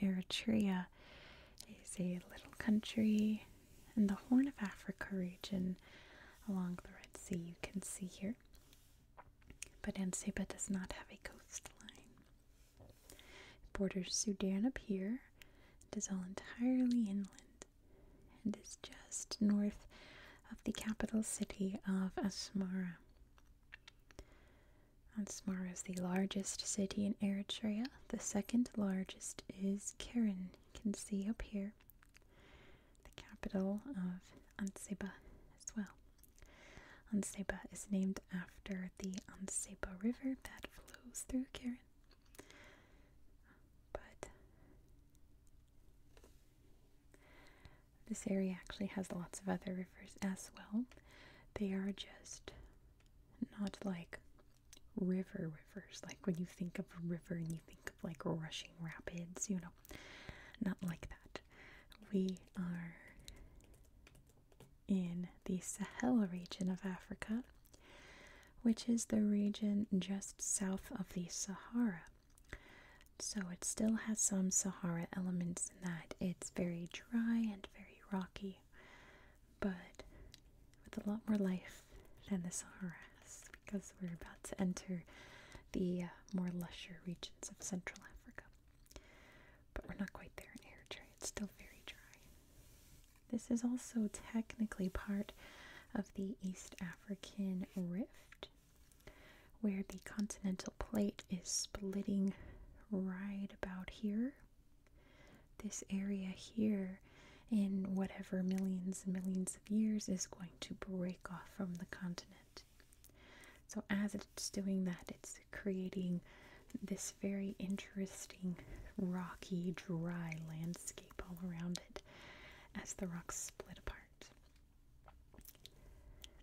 Eritrea is a little country in the Horn of Africa region along the Red Sea, you can see here. But Anseba does not have a coastline. It borders Sudan up here, it is all entirely inland, and is just north of the capital city of Asmara. Ansmar is the largest city in Eritrea. The second largest is Keren. You can see up here the capital of Anseba as well. Anseba is named after the Anseba River that flows through Keren. But this area actually has lots of other rivers as well. They are just not like river rivers, like when you think of a river and you think of like rushing rapids, you know, not like that. We are in the Sahel region of Africa, which is the region just south of the Sahara. So it still has some Sahara elements in that. It's very dry and very rocky, but with a lot more life than the Sahara has because we're about to enter the uh, more lusher regions of Central Africa. But we're not quite there in Eritrea, it's still very dry. This is also technically part of the East African Rift, where the continental plate is splitting right about here. This area here, in whatever millions and millions of years, is going to break off from the continent. So, as it's doing that, it's creating this very interesting rocky, dry landscape all around it as the rocks split apart.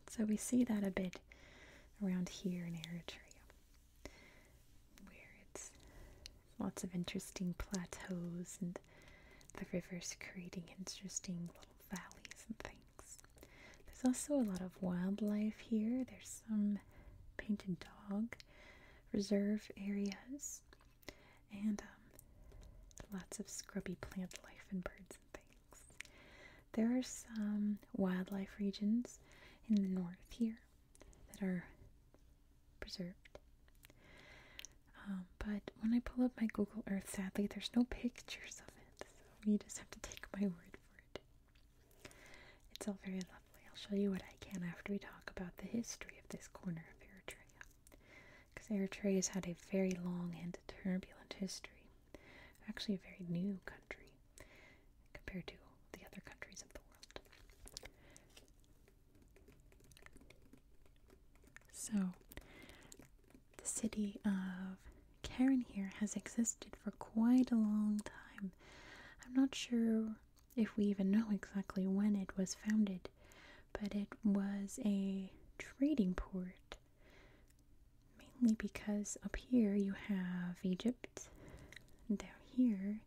So we see that a bit around here in Eritrea, where it's lots of interesting plateaus and the rivers creating interesting little valleys and things. There's also a lot of wildlife here. There's some painted dog reserve areas and um, lots of scrubby plant life and birds and things. There are some wildlife regions in the north here that are preserved. Um, but when I pull up my Google Earth, sadly, there's no pictures of it, so you just have to take my word for it. It's all very lovely. I'll show you what I can after we talk about the history of this corner of Eritrea, because Eritrea has had a very long and turbulent history. Actually, a very new country compared to the other countries of the world. So, the city of Karen here has existed for quite a long time. I'm not sure if we even know exactly when it was founded, but it was a trading port Mainly because up here you have Egypt, and down here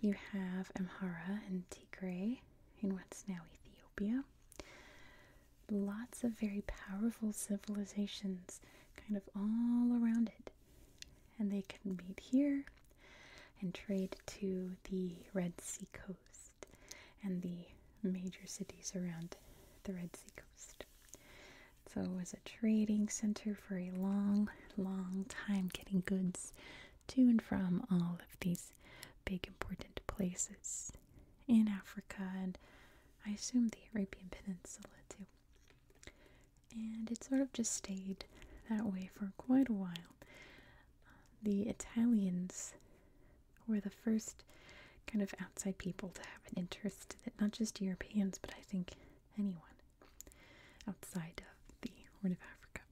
you have Amhara and Tigray in what's now Ethiopia. Lots of very powerful civilizations kind of all around it. And they can meet here and trade to the Red Sea coast and the major cities around the Red Sea coast. So it was a trading center for a long, long time, getting goods to and from all of these big important places in Africa and I assume the Arabian Peninsula too. And it sort of just stayed that way for quite a while. The Italians were the first kind of outside people to have an interest in it, not just Europeans, but I think anyone outside of the Horn of Africa.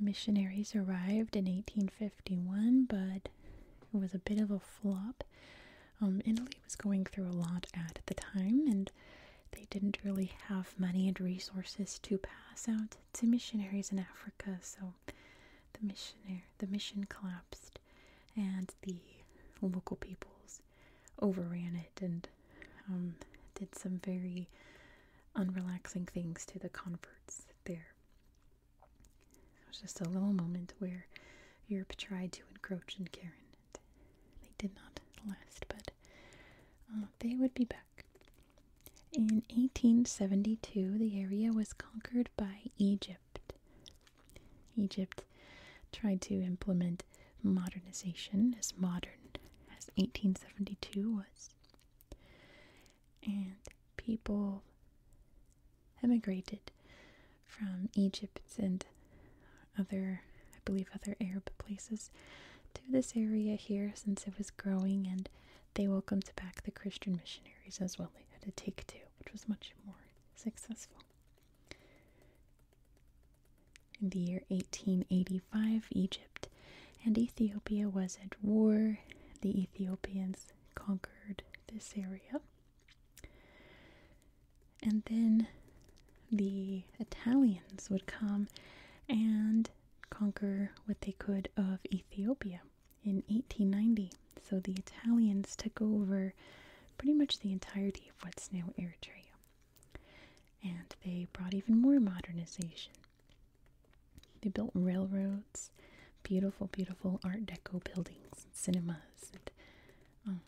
Missionaries arrived in 1851, but it was a bit of a flop. Um, Italy was going through a lot at the time, and they didn't really have money and resources to pass out to missionaries in Africa, so the mission collapsed, and the local peoples overran it and um, did some very unrelaxing things to the converts there. It was just a little moment where Europe tried to encroach in Karen. They did not last, but uh, they would be back. In 1872, the area was conquered by Egypt. Egypt. tried to implement modernization as modern as 1872 was. And people emigrated from Egypt and other, I believe, other Arab places to this area here since it was growing and they welcomed back the Christian missionaries as well. They had to take two, which was much more successful. In the year 1885, Egypt and Ethiopia was at war. The Ethiopians conquered this area. And then the Italians would come and conquer what they could of Ethiopia in 1890. So the Italians took over pretty much the entirety of what's now Eritrea. And they brought even more modernization. They built railroads, beautiful, beautiful Art Deco buildings, cinemas, and um,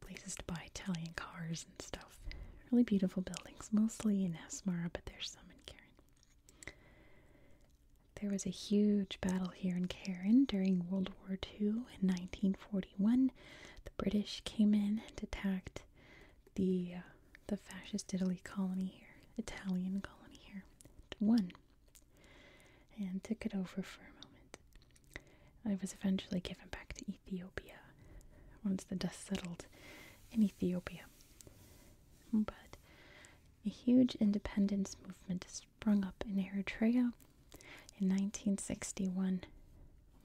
places to buy Italian cars and stuff. Really beautiful buildings, mostly in Asmara, but there's some in Keren. There was a huge battle here in Karen during World War II in 1941. The British came in and attacked the uh, the fascist Italy colony here, Italian colony here, won, and took it over for a moment. It was eventually given back to Ethiopia once the dust settled in Ethiopia. But a huge independence movement sprung up in Eritrea in 1961,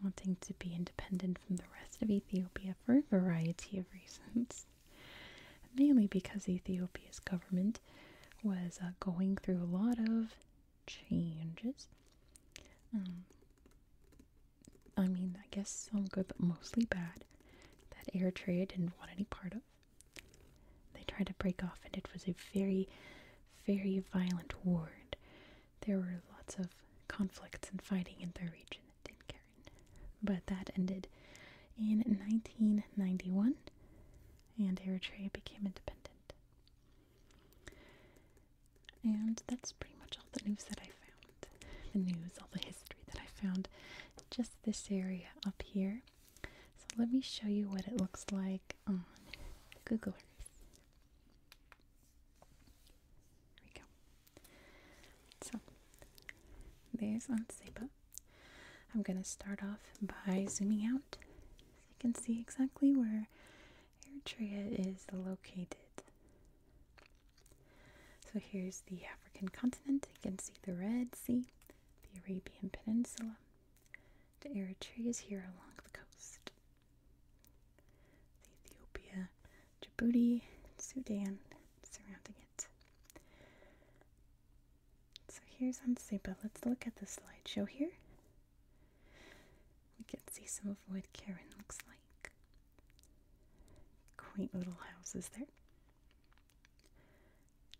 wanting to be independent from the rest of Ethiopia for a variety of reasons, mainly because Ethiopia's government was uh, going through a lot of changes. Um, I mean, I guess some good, but mostly bad, that Eritrea didn't want any part of. They tried to break off, and it was a very, very violent war. There were lots of conflicts and fighting in their region, Dinkaran. But that ended in 1991, and Eritrea became independent. And that's pretty much all the news that I found. The news, all the history that I found, just this area up here. So let me show you what it looks like on Google Earth. There we go. So there's on Seba. I'm going to start off by zooming out so you can see exactly where Eritrea is located. So here's the African continent. You can see the Red Sea the Arabian Peninsula The to is here along the coast. Ethiopia, Djibouti, Sudan surrounding it. So here's Anseba. Let's look at the slideshow here. We can see some of what Karen looks like. Quaint little houses there.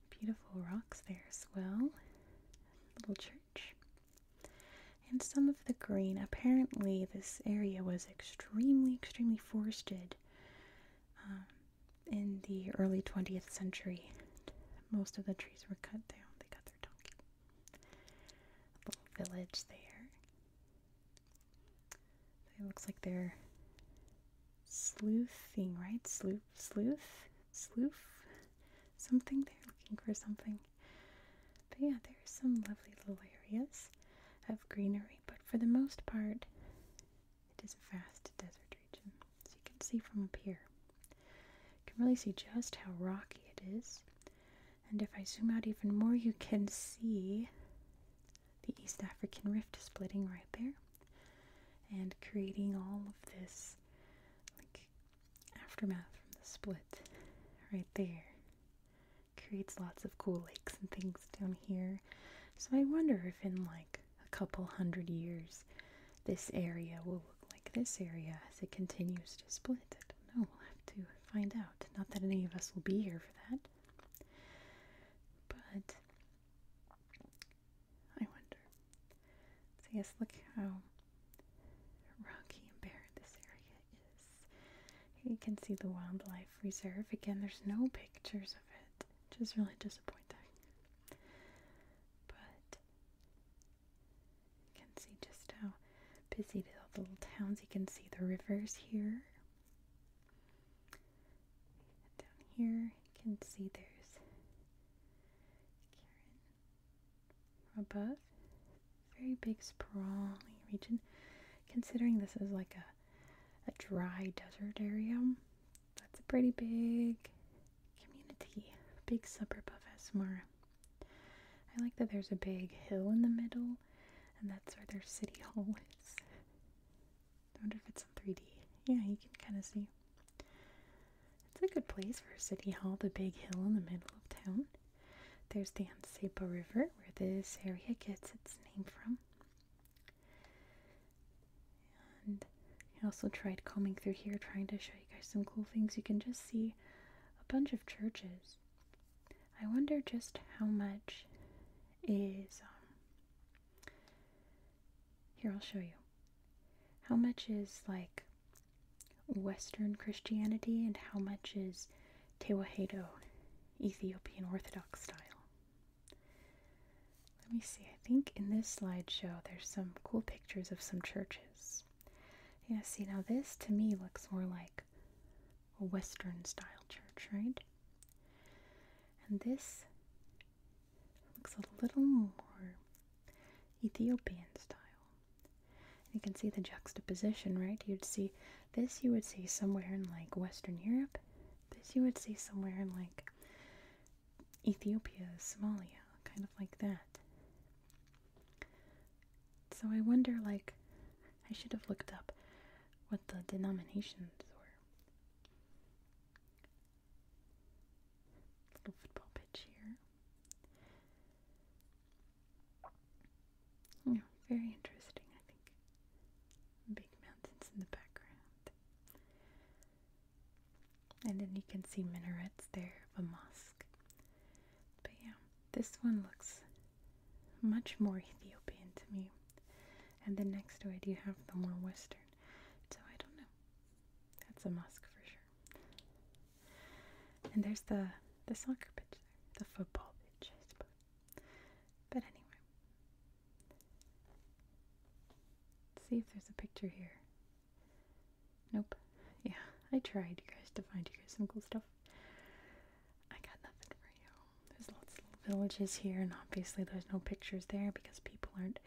Beautiful rocks there as well. Little church. And some of the green. Apparently, this area was extremely, extremely forested um, in the early 20th century. Most of the trees were cut down. They got their donkey. little village there. It looks like they're sleuthing, right? Sleuth, sleuth, sleuth, something. They're looking for something. But yeah, there's some lovely little areas of greenery, but for the most part, it is a vast desert region. As you can see from up here. You can really see just how rocky it is. And if I zoom out even more, you can see the East African Rift splitting right there and creating all of this aftermath from the split right there creates lots of cool lakes and things down here so i wonder if in like a couple hundred years this area will look like this area as it continues to split i don't know we'll have to find out not that any of us will be here for that but I wonder. So yes, look how rocky and barren this area is. you can see the wildlife reserve. Again, there's no pictures of it, which is really disappointing. But you can see just how busy the little towns. You can see the rivers here down here you can see there's Karen above. Very big sprawling region. Considering this is like a a dry desert area, that's a pretty big community, big suburb of Asmara. I like that there's a big hill in the middle, and that's where their city hall is. I wonder if it's in 3D. Yeah, you can kind of see. It's a good place for City Hall, the big hill in the middle of town. There's the Ansepa River, where this area gets its name from. And I also tried combing through here, trying to show you guys some cool things. You can just see a bunch of churches. I wonder just how much is um, here, I'll show you. How much is like Western Christianity and how much is Tewahedo, Ethiopian Orthodox style? Let me see, I think in this slideshow there's some cool pictures of some churches. Yeah, see, now this to me looks more like a Western style church, right? And this looks a little more Ethiopian style. You can see the juxtaposition, right? You'd see this you would see somewhere in like Western Europe. This you would see somewhere in like Ethiopia, Somalia, kind of like that. So I wonder like I should have looked up what the denominations were Little football pitch here. Yeah, very interesting, I think. Big mountains in the background. And then you can see minarets there of a mosque. But yeah, this one looks much more Ethiopian to me. And the next one, it you have the more western. So I don't know. That's a mosque for sure. And there's the the soccer pitch The football pitch, I suppose. But anyway. Let's see if there's a picture here. Nope. Yeah, I tried, you guys, to find you guys some cool stuff. I got nothing for you. There's lots of villages here, and obviously there's no pictures there because people aren't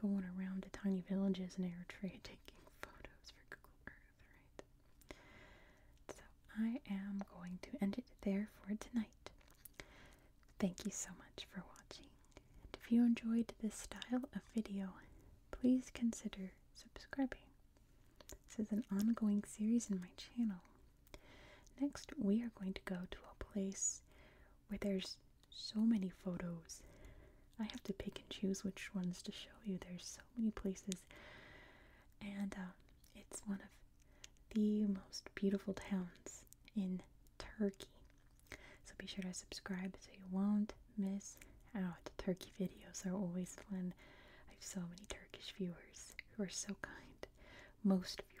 going around the tiny villages in Eritrea taking photos for Google Earth, right? So I am going to end it there for tonight. Thank you so much for watching. And if you enjoyed this style of video, please consider subscribing. This is an ongoing series in my channel Next, we are going to go to a place where there's so many photos. I have to pick and choose which ones to show you. There's so many places, and uh, it's one of the most beautiful towns in Turkey. So be sure to subscribe so you won't miss out. Turkey videos are always fun. I have so many Turkish viewers who are so kind. Most viewers